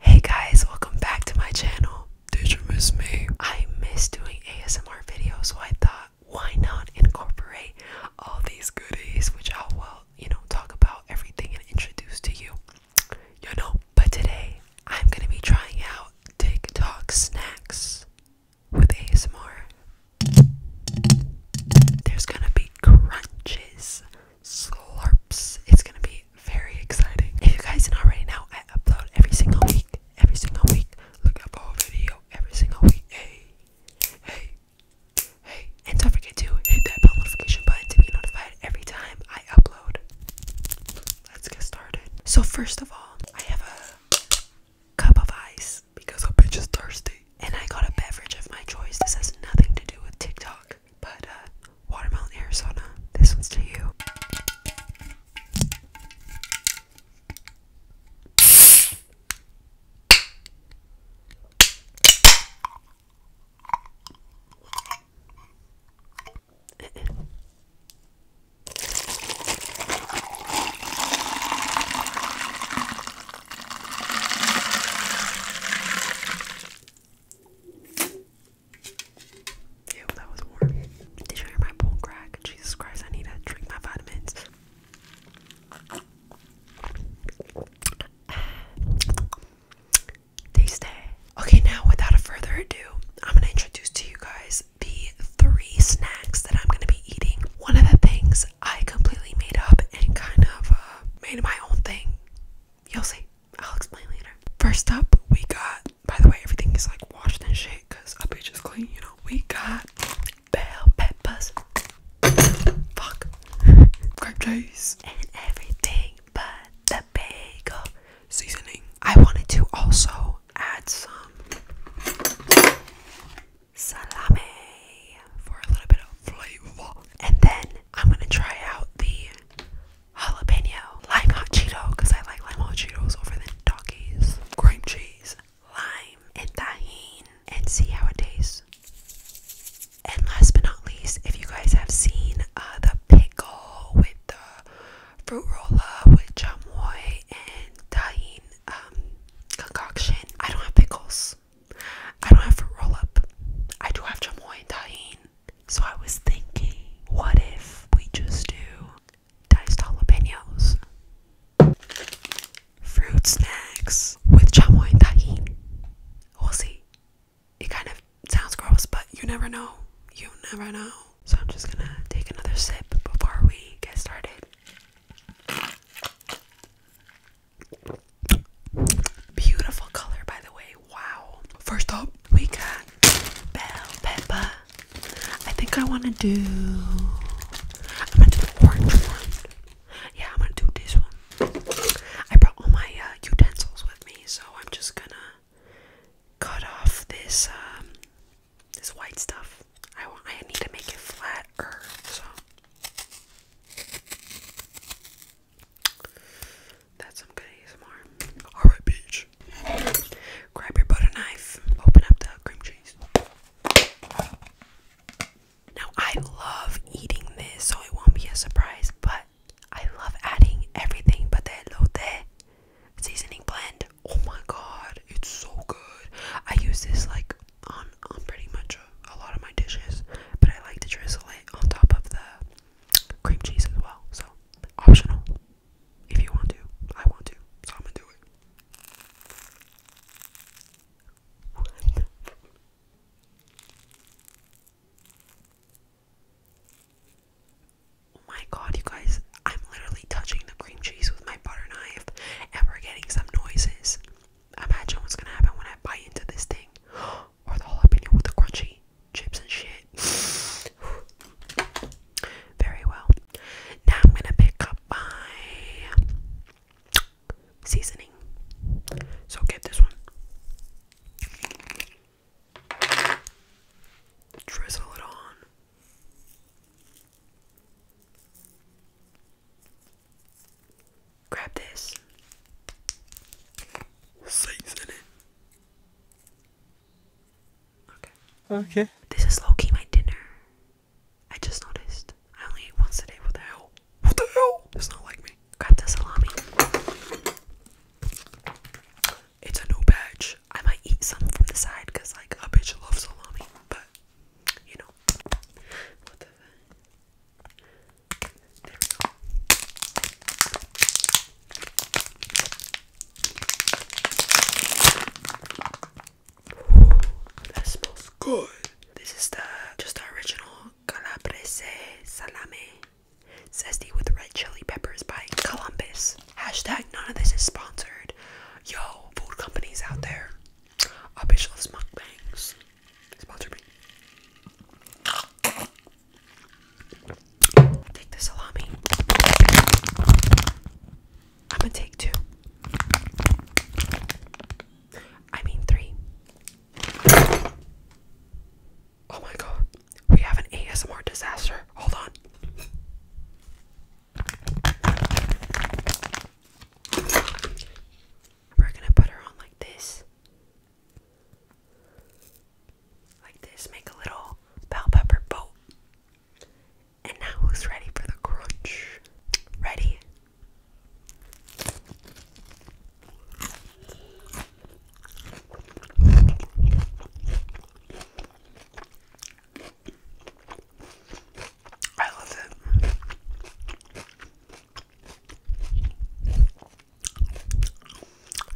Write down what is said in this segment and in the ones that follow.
Hey guys, welcome back to my channel. Did you miss me? I miss doing ASMR videos, so I thought, why not incorporate all these goodies, which I will, you know, talk about everything and introduce to you. You know, but today I'm gonna be trying out TikTok snacks with ASMR. There's gonna be crunches, slurps. It's gonna be very exciting. If you guys know right now, I upload every single week. Every single week. Look up a video every single week. Hey, hey, hey. And don't forget to hit that bell notification button to be notified every time I upload. Let's get started. So first of all, I have a cup of ice because a bitch is thirsty. And I got a beverage of my choice. This has nothing to do with TikTok. But uh, watermelon Arizona. This one's to you. Ew, that was warm. Did you hear my bowl crack? Jesus Christ, I need to drink my vitamins. Taste Okay, now without a further ado, I'm gonna introduce to you guys the three snacks that I'm gonna be eating. One of the things I completely made up and kind of uh, made my own thing. You'll see. I'll explain later. First up, we got, by the way, everything is like washed and shit because a bitch is clean, you know. We got bell peppers, fuck, grape juice, and everything but the bagel seasoning. I wanted to also add some salami for a little bit of flavor. And then I'm gonna try out the jalapeno, lime hot Cheeto, because I like lime hot Cheetos over the doggies, cream cheese, lime, and tahine, and see how it tastes. And last but not least, if you guys have seen uh, the pickle with the fruit roller with chamoy and tahine um, concoction, I don't have pickles. I don't have fruit roll up. I do have chamoy and tahine. So I was thinking, what if we just do diced jalapenos? Fruit snacks with chamoy and We'll see. It kind of sounds gross, but you never know. You never know. So I'm just gonna take another sip before we get started. Beautiful color, by the way. Wow. First up, we got bell pepper. I think I want to do. I'm gonna do the orange one. Yeah, I'm gonna do this one. I brought all my uh, utensils with me, so I'm just gonna cut off this um, this white stuff. I want. I need to make it flatter, that's some good ASMR. Alright, bitch. Grab your butter knife. Open up the cream cheese. Now, I love eating this, so it won't be a surprise, but I love adding everything but the elote seasoning blend. Oh my god, it's so good. I use this like on, on pretty much a lot of my dishes, but I like to drizzle it on top of the cream cheese as well. So optional if you want to. I want to, so I'm gonna do it. Oh my god, you guys, I'm literally touching the cream cheese with my butter knife and we're getting some noises. Imagine what's gonna happen when I bite into this thing. Oh or the jalapeno with the crunchy chips and shit. Very well. Now I'm gonna pick up my seasoning. So get this one. Drizzle it on. Grab this. Season it. Okay. Okay. This is low my dinner. I just noticed. I only eat once a day. What the hell? What the hell? It's not like me. Grab the salami. It's a new batch. I might eat some from the side because, like, a bitch loves salami. But, you know. What the there smells good. This is the just original Calabrese salami, Zesty with red chili peppers by Columbus. Hashtag none of this is sponsored. Yo, food companies out there. Up your shelves mukbangs. Take the salami. I'm gonna take two. I mean three. Oh my god. We have an ASMR disaster. Hold on. We're gonna put her on like this. Like this, make a little bell pepper boat. And now, who's ready for the crunch? Ready? I love it.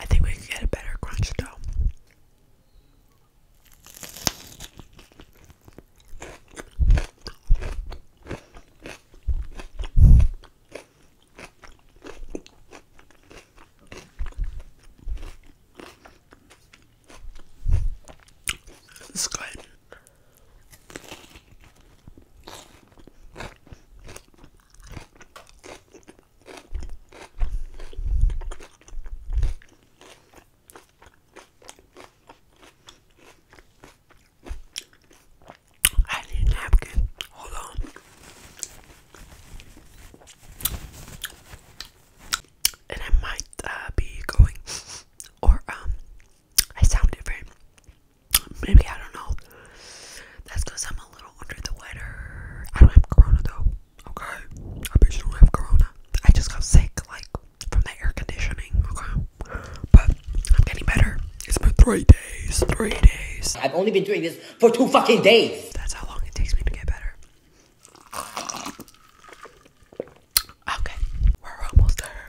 I think we can get a better crunch though. It's good. I need a napkin. Hold on. And I might uh, be going or um I sound different. Maybe I don't know. That's because I'm a little under the weather. I don't have corona though. Okay. I bet don't have corona. I just got sick, like from the air conditioning. Okay. But I'm getting better. It's been three days. Three days. I've only been doing this for two fucking days. That's how long it takes me to get better. Okay. We're almost there.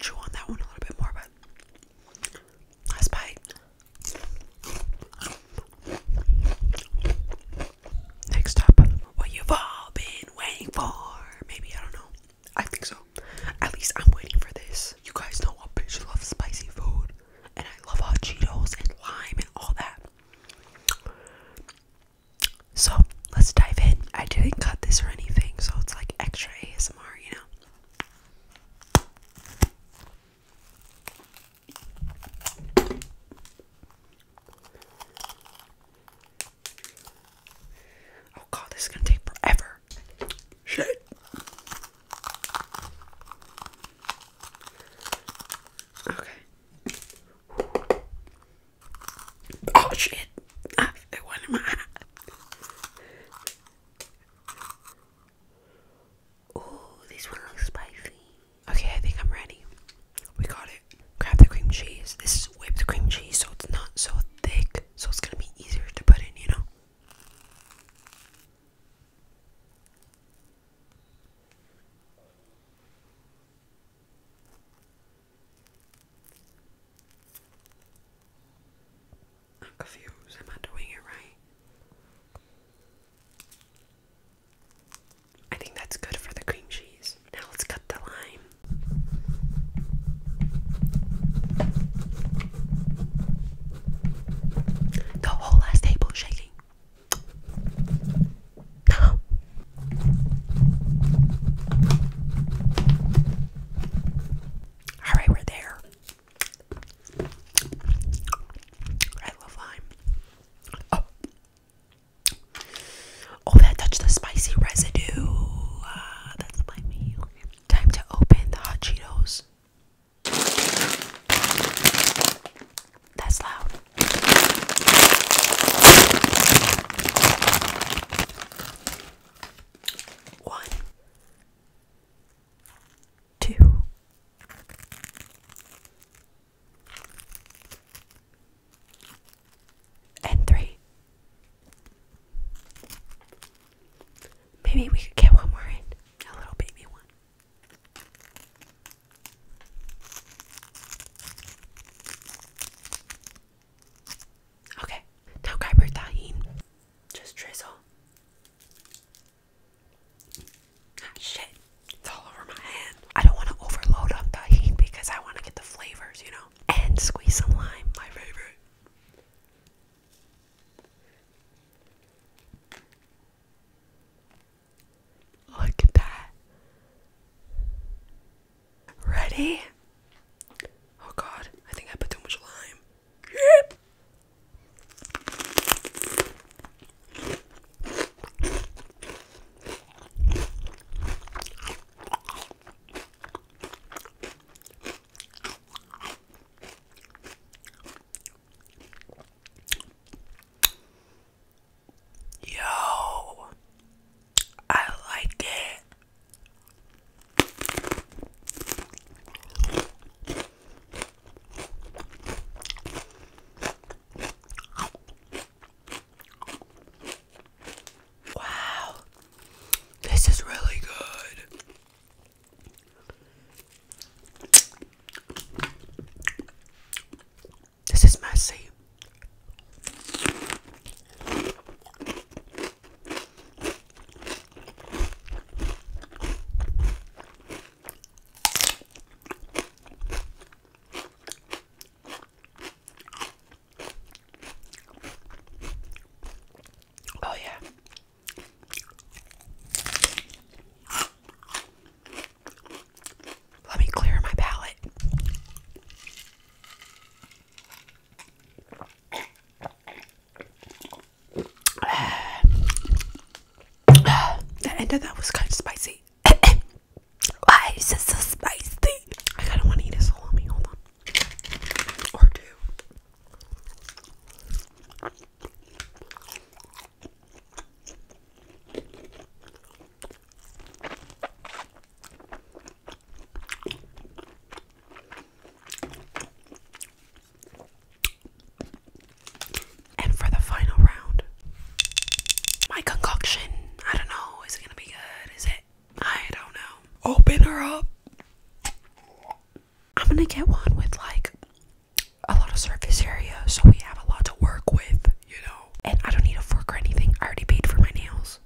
chew on that one a little bit more, but last bite. Next up, what you've all been waiting for. Maybe, I don't know. I think so. At least I'm waiting for this. You guys know what? I love spicy food. And I love hot Cheetos and lime and all that. So let's dive in. I didn't cut this or anything, so it's like extra ASMR, you know. Oh god, this is gonna take forever. Shit. Okay. Oh shit! I have my Oh, this one looks spicy. Okay, I think I'm ready. We got it. Grab the cream cheese. This is whipped cream cheese, so it's not so thick, so it's gonna be easier to put in, you know? I'm confused. Am I doing it right? I think that's good for the cream cheese. Now let's cut the lime. The whole last table shaking. No, all right, we're there. I love lime. Oh. Oh, that touched the spicy residue. Ah, that's my meal. Time to open the hot Cheetos. That's loud. One, two, and three. Maybe we could get one more in, a little baby one. Okay, now Khyber Tahin. Just drizzle. Ah, shit, it's all over my hand. I don't want to overload on Tahin because I want to get the flavors, you know? And squeeze some lime, my favorite. Look at that. Ready? Oh god, I think I put too much lime. Yo, I like it. Wow, this is really good. This is messy. Oh, yeah. Let me clear my palate the end of that was kind of spicy. Why is it so spicy? I kind of want to eat a salami. Hold on. Or two. And for the final round, my concoction. I don't know. Is it gonna be good? Is it? I don't know. Open her up. I'm gonna get one with like a lot of surface area, so we have a lot to work with, you know. And I don't need a fork or anything. I already paid for my nails.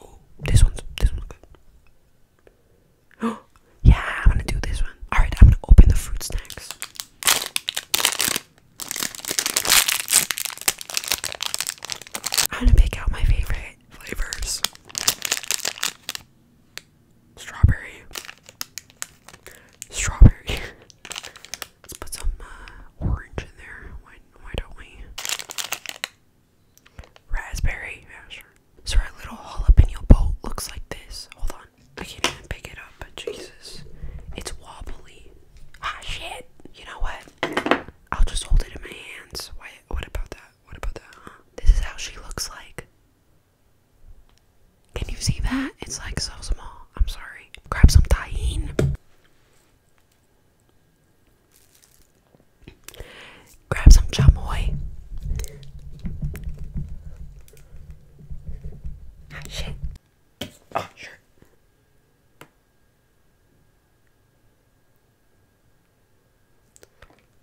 Oh, this one's this one's good. yeah, I'm gonna do this one. All right, I'm gonna open the fruit snacks. I'm gonna pick out my favorite flavors. Strawberry. Strawberry. Let's put some uh, orange in there why don't we? Raspberry, yeah, sure. So our little jalapeno boat looks like this. Hold on. I can't even pick it up, Jesus. It's wobbly. Ah, shit. You know what? I'll just hold it in my hands. Why, what about that? What about that, huh? This is how she looks like. Can you see that? It's like so small. I'm sorry. Grab some tahine. Grab some chamoy. Ah, shit. Oh, sure.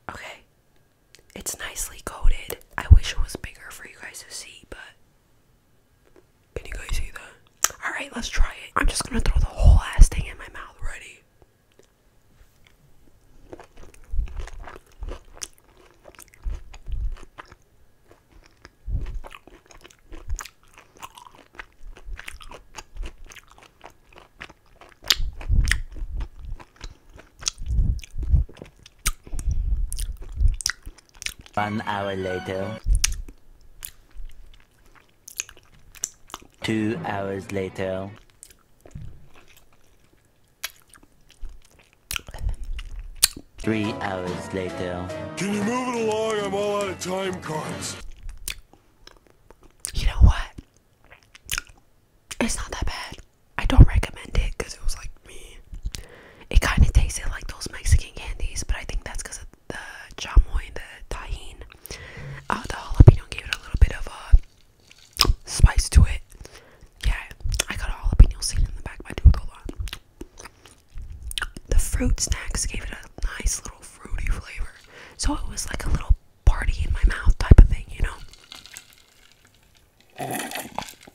Okay. It's nicely coated. I wish it was bigger for you guys to see, but can you guys see that? Alright, let's try it. I'm just gonna throw the whole ass thing in my mouth. Ready? One hour later. Two hours later. Three hours later. Can you move it along? I'm all out of time cards. You know what? It's not that bad. I don't recommend it because it was like me. It kind of tasted like those Mexican candies, but I think that's because the chamoy and the tahine. Uh, the jalapeno gave it a little bit of a spice to it. Yeah, I got a jalapeno sitting in the back of my tooth. Hold on. The fruit snacks gave it a nice little fruity flavor. So it was like a little party in my mouth type of thing, you know?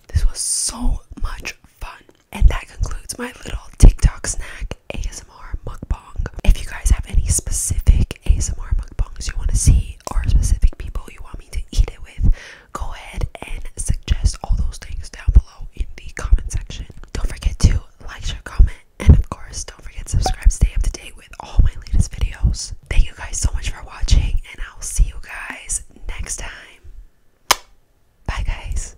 This was so much fun. And that concludes my little TikTok snack ASMR mukbang. If you guys have any specific ASMR mukbangs you want to see or specific people you want me to eat it with, go ahead and suggest all those things down below in the comment section. Don't forget to like, share, comment, and of course, don't forget to subscribe. Stay up to date with all my latest videos. Thank you guys so much for watching, and I'll see you guys next time. Bye, guys.